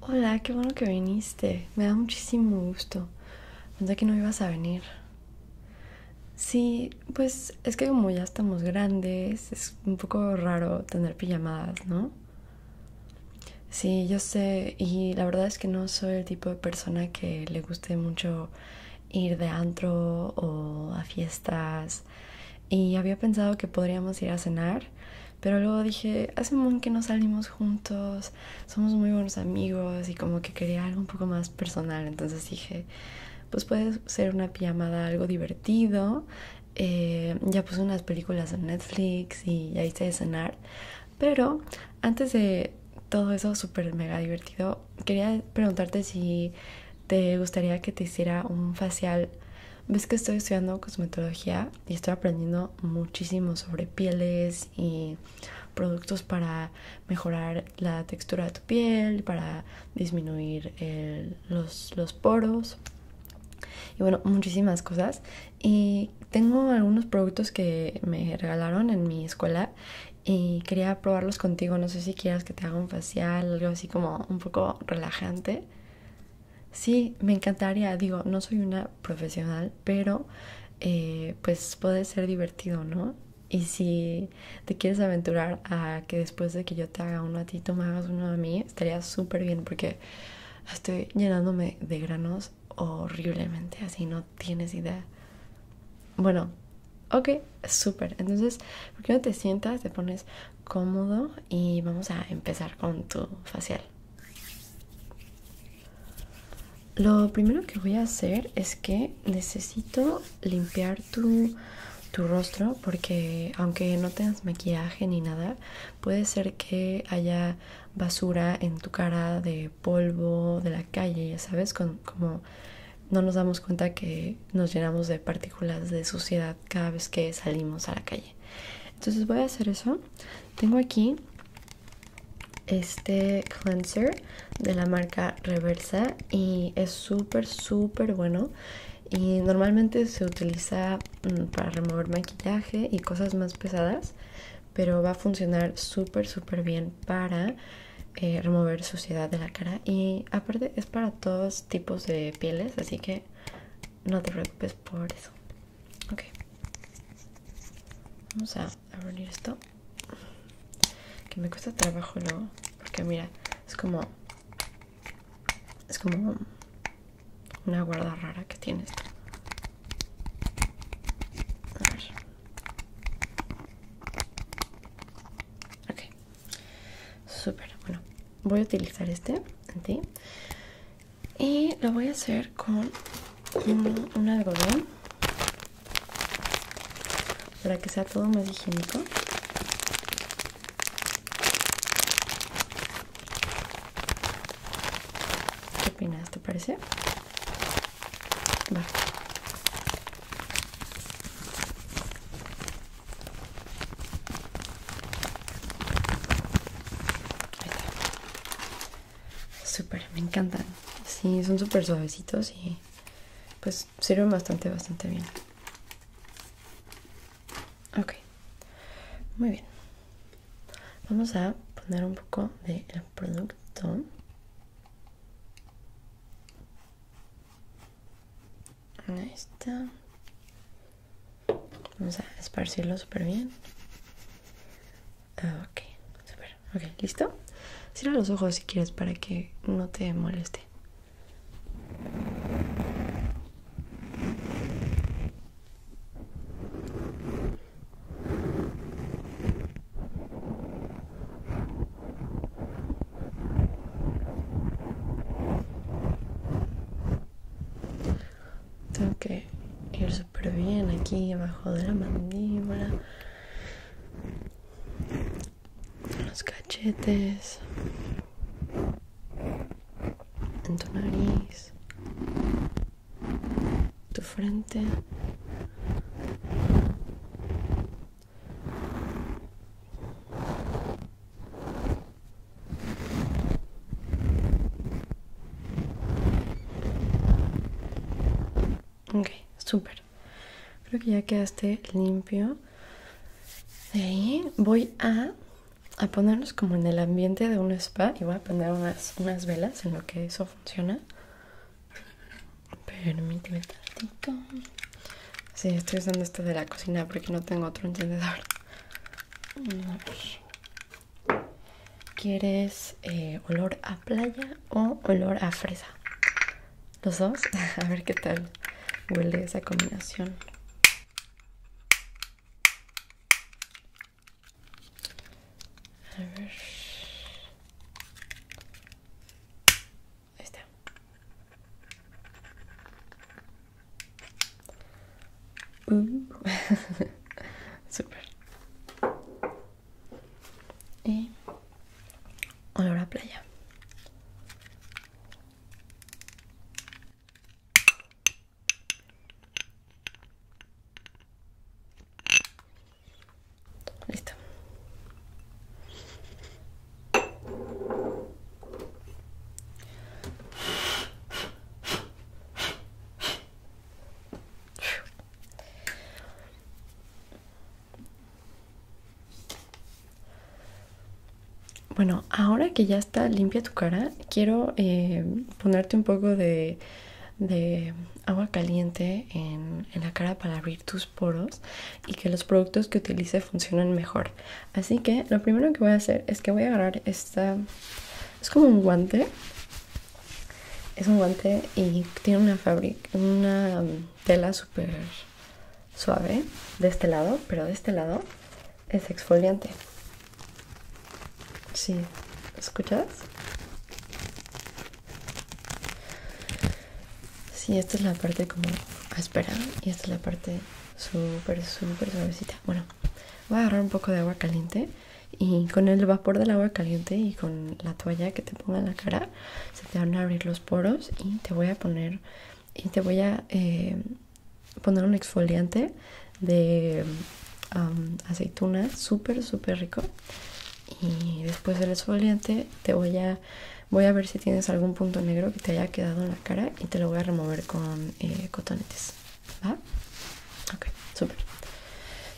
Hola, qué bueno que viniste. Me da muchísimo gusto. Pensé que no ibas a venir. Sí, pues es que como ya estamos grandes, es un poco raro tener pijamadas, ¿no? Sí, yo sé, y la verdad es que no soy el tipo de persona que le guste mucho ir de antro o a fiestas. Y había pensado que podríamos ir a cenar, pero luego dije, hace un que nos salimos juntos, somos muy buenos amigos y como que quería algo un poco más personal. Entonces dije, pues puede ser una pijamada algo divertido. Eh, ya puse unas películas en Netflix y ya hice de cenar. Pero antes de todo eso súper mega divertido, quería preguntarte si te gustaría que te hiciera un facial ves que estoy estudiando cosmetología y estoy aprendiendo muchísimo sobre pieles y productos para mejorar la textura de tu piel, para disminuir los, los poros y bueno, muchísimas cosas. Y tengo algunos productos que me regalaron en mi escuela y quería probarlos contigo. No sé si quieras que te haga un facial, algo así como un poco relajante. Sí, me encantaría, digo, no soy una profesional, pero eh, pues puede ser divertido, ¿no? Y si te quieres aventurar a que después de que yo te haga uno a ti, tú me hagas uno a mí, estaría súper bien porque estoy llenándome de granos horriblemente, así no tienes idea. Bueno, ok, súper. Entonces, ¿por qué no te sientas, te pones cómodo y vamos a empezar con tu facial? Lo primero que voy a hacer es que necesito limpiar tu, rostro porque aunque no tengas maquillaje ni nada, puede ser que haya basura en tu cara de polvo, de la calle, ya sabes, como no nos damos cuenta que nos llenamos de partículas de suciedad cada vez que salimos a la calle entonces voy a hacer eso tengo aquí este cleanser de la marca reversa y es súper súper bueno y normalmente se utiliza mm, para remover maquillaje y cosas más pesadas pero va a funcionar súper súper bien para eh, remover suciedad de la cara y aparte es para todos tipos de pieles así que no te preocupes por eso ok vamos a abrir esto que me cuesta trabajo no porque mira es como es como una guarda rara que tiene esto a ver ok súper bueno voy a utilizar este en ti y lo voy a hacer con un, algodón para que sea todo más higiénico ¿Qué opinas? ¿Te parece? Va me encantan. Sí, son súper suavecitos y pues sirven bastante, bastante bien. Ok, muy bien. Vamos a poner un poco del de producto. Ahí está. Vamos a esparcirlo super bien. Ah, ok, super. Ok, ¿listo? Cierra los ojos si quieres para que no te moleste. Tengo que ir súper bien aquí abajo de la mandíbula. Los cachetes. En tu nariz. Tu frente. Ok, súper. Creo que ya quedaste limpio. De ahí voy a, a, ponernos como en el ambiente de un spa y voy a poner unas, velas en lo que eso funciona. Permíteme tantito. Sí, estoy usando este de la cocina porque no tengo otro encendedor. ¿Quieres eh, olor a playa o olor a fresa? Los dos, a ver qué tal huele esa combinación. Mm. Super. Y olor a playa. Listo. Bueno, ahora que ya está limpia tu cara, quiero eh, ponerte un poco de, agua caliente en, en, la cara para abrir tus poros y que los productos que utilice funcionen mejor. Así que lo primero que voy a hacer es que voy a agarrar esta es como un guante. Es un guante y tiene una fabric, una tela super suave de este lado, pero de este lado es exfoliante. Sí, ¿escuchas? Sí, esta es la parte como áspera y esta es la parte super, super suavecita. Bueno, Voy a agarrar un poco de agua caliente y con el vapor del agua caliente y con la toalla que te ponga en la cara se te van a abrir los poros y te voy a poner y te voy a eh, poner un exfoliante de um, aceituna súper súper rico y después del exfoliante te voy a voy a ver si tienes algún punto negro que te haya quedado en la cara y te lo voy a remover con eh, cotonetes ¿Va? Ok, súper.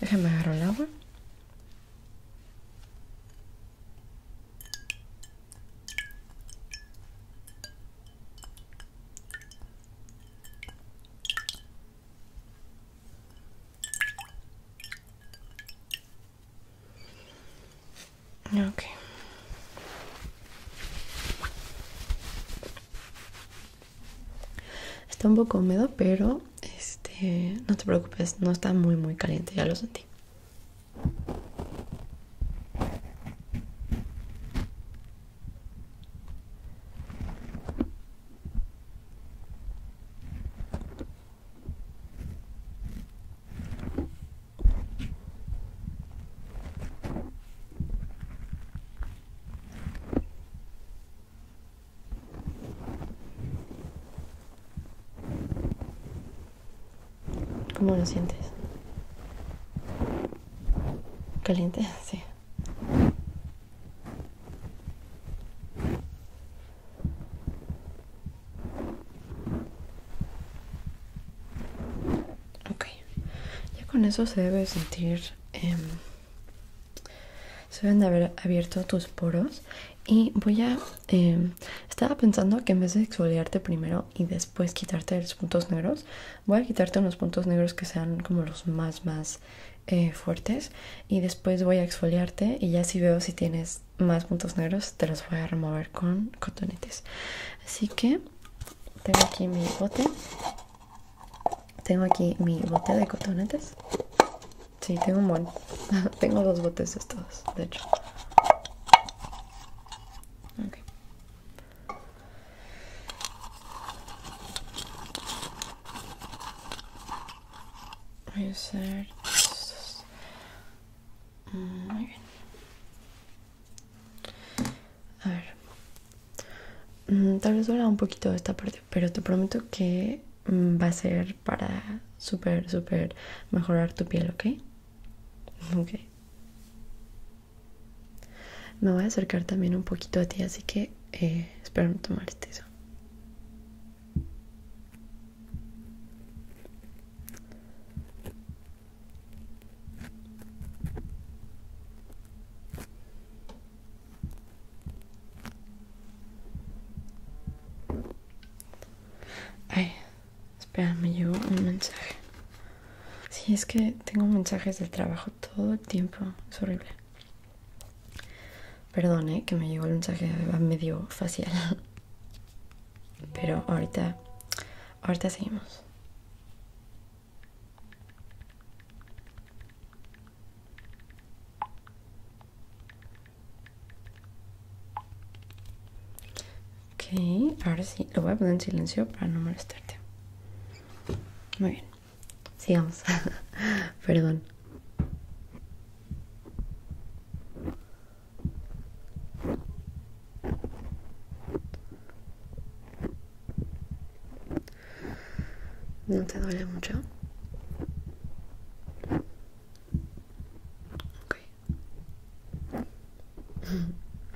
Déjame agarrar el agua. Ok. Está un poco húmedo, pero este, no te preocupes, no está muy muy caliente, ya lo sentí. ¿Cómo lo sientes? ¿Caliente? Sí. Ok ya con eso se debe sentir em, se deben de haber abierto tus poros y voy a em, estaba pensando que en vez de exfoliarte primero y después quitarte los puntos negros voy a quitarte unos puntos negros que sean como los más más eh, fuertes y después voy a exfoliarte y ya si veo si tienes más puntos negros te los voy a remover con cotonetes así que tengo aquí mi bote tengo aquí mi botella de cotonetes. Sí, tengo un montón. tengo dos botes estos, de hecho. Voy a mm, a ver. Mm, tal vez duela un poquito esta parte, pero te prometo que mm, va a ser para súper, súper mejorar tu piel, ¿ok? Ok. Me voy a acercar también un poquito a ti, así que eh, espero no tomar eso. Ay, espera, me llegó un mensaje. Sí, es que tengo mensajes del trabajo todo el tiempo. Es horrible. Perdone eh, que me llegó el mensaje medio facial. Pero ahorita, ahorita seguimos. Ok, ahora sí, lo voy a poner en silencio para no molestarte. Muy bien, sigamos. Perdón. ¿No te duele mucho? Ok.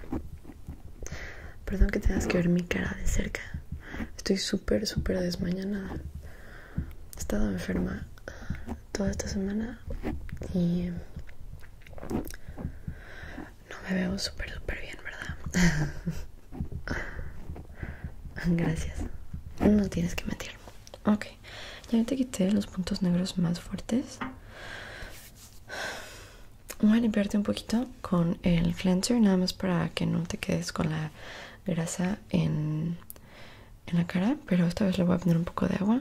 Perdón que tengas que ver mi cara de cerca. Estoy súper, súper desmañanada. He estado enferma toda esta semana y no me veo súper, súper bien, ¿verdad? Gracias. No tienes que mentir. Ok, ya te quité los puntos negros más fuertes. Voy a limpiarte un poquito con el cleanser, nada más para que no te quedes con la grasa en, en la cara. Pero esta vez le voy a poner un poco de agua.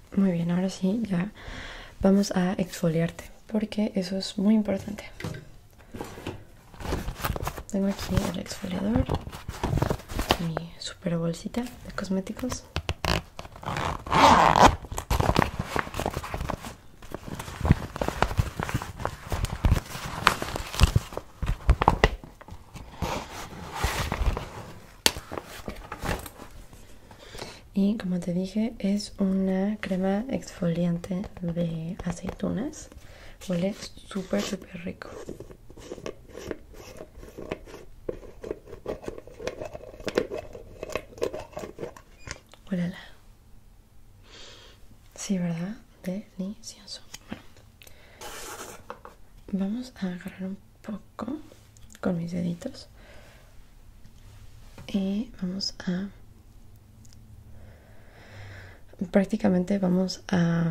Muy bien, ahora sí, ya vamos a exfoliarte porque eso es muy importante. Tengo aquí el exfoliador, mi super bolsita de cosméticos. Y como te dije, es una crema exfoliante de aceitunas. Huele súper, súper rico. Huélala. Sí, ¿verdad? Delicioso. Bueno, vamos a agarrar un poco con mis deditos y vamos a prácticamente vamos a,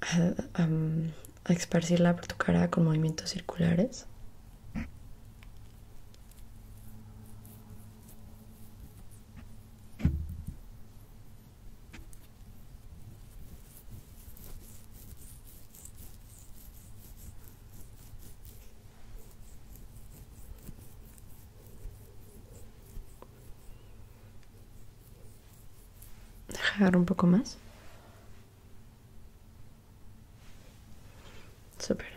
a, a, a por tu cara con movimientos circulares Dejar un poco más. Súper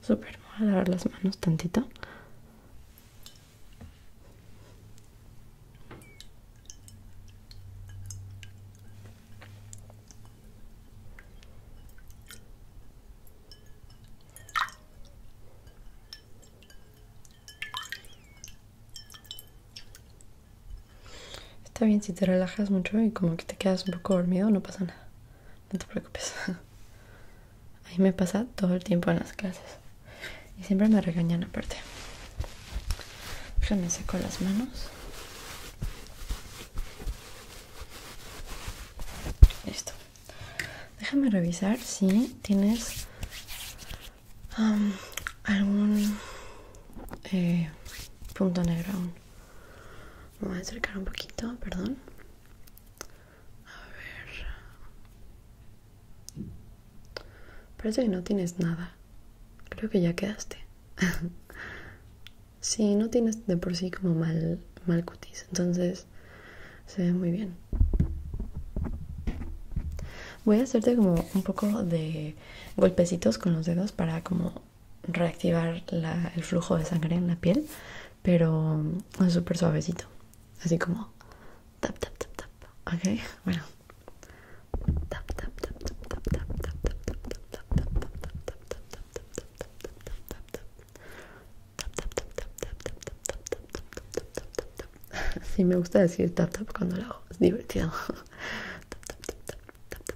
super, voy a lavar las manos tantito. Está bien si te relajas mucho y como que te quedas un poco dormido, no pasa nada no te preocupes. ahí me pasa todo el tiempo en las clases. Y siempre me regañan aparte. Déjame seco las manos. Listo. Déjame revisar si tienes algún eh, punto negro aún. Me voy a acercar un poquito, perdón. A ver. Parece que no tienes nada. Creo que ya quedaste. Si no tienes de por sí como mal, mal cutis. Entonces se ve muy bien. Voy a hacerte como un poco de golpecitos con los dedos para como reactivar el flujo de sangre en la piel, pero es súper suavecito, así como tap, tap, tap, tap, ok, bueno, tap, tap, tap, tap, Sí, me gusta decir tap tap cuando lo hago, es divertido. tap tap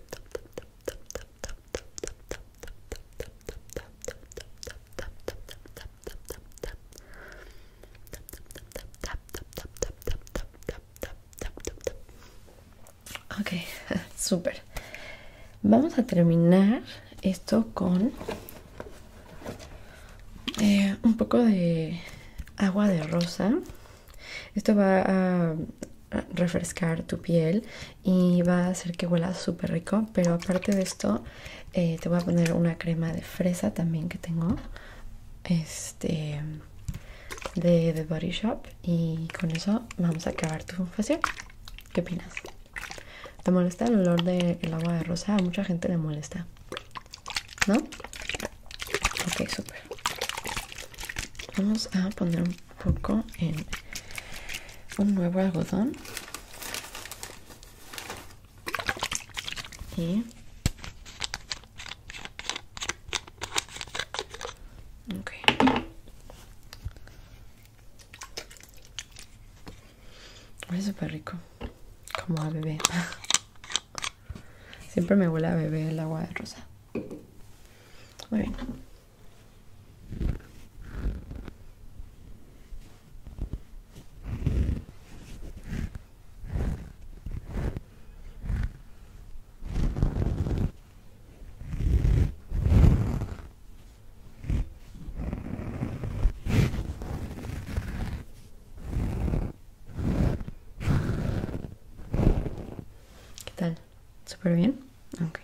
Ok, súper. Vamos a terminar esto con eh, un poco de agua de rosa. Esto va a refrescar tu piel y va a hacer que huela súper rico pero aparte de esto eh, te voy a poner una crema de fresa también que tengo este de The Body Shop y con eso vamos a acabar tu facial ¿qué opinas? ¿te molesta el olor del agua de rosa? a mucha gente le molesta ¿no? ok, súper vamos a poner un poco en un nuevo algodón y es súper rico como a bebé siempre me huele a bebé el agua de rosa muy bien ¿Qué tal? Super bien? Ok.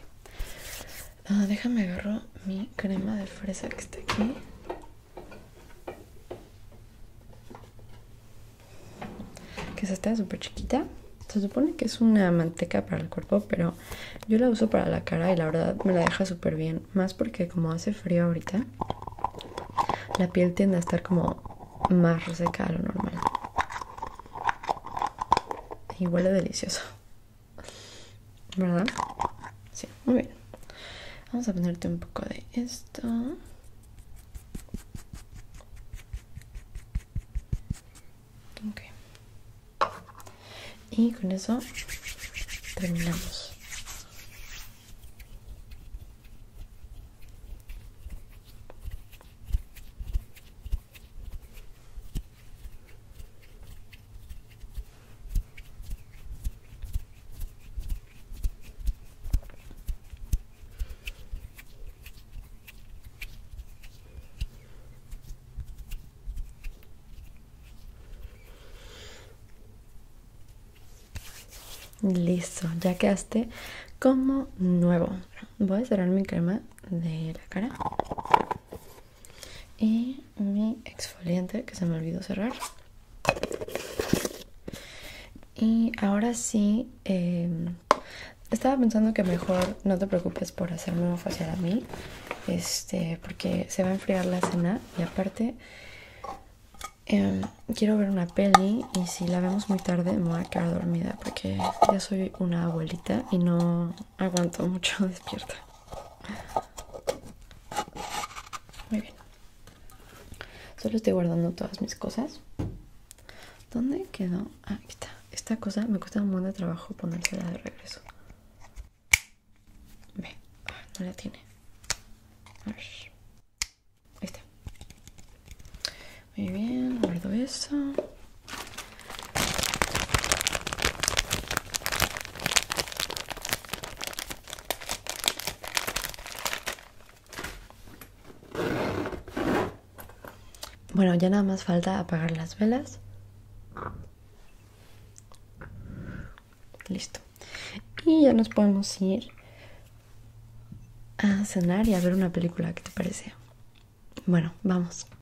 déjame agarro mi crema de fresa que está aquí. Que se está súper chiquita. Se supone que es una manteca para el cuerpo, pero yo la uso para la cara y la verdad me la deja súper bien. Más porque como hace frío ahorita, la piel tiende a estar como más seca a lo normal. Y huele delicioso. ¿Verdad? Sí, muy bien. Vamos a ponerte un poco de esto. Y con eso terminamos. Listo, ya quedaste como nuevo. Voy a cerrar mi crema de la cara y mi exfoliante que se me olvidó cerrar y ahora sí em, estaba pensando que mejor no te preocupes por hacerme un facial a mí este porque se va a enfriar la cena y aparte em, quiero ver una peli y si la vemos muy tarde me voy a quedar dormida porque ya soy una abuelita y no aguanto mucho despierta. Muy bien. Solo estoy guardando todas mis cosas. ¿Dónde quedó? Ah, aquí está. Esta cosa me cuesta un montón de trabajo ponérsela de regreso. Ve, ah, no la tiene. Ahí está. Muy bien, guardo eso. Bueno, ya nada más falta apagar las velas. Listo. Y ya nos podemos ir a cenar y a ver una película, que te parece? Bueno, vamos.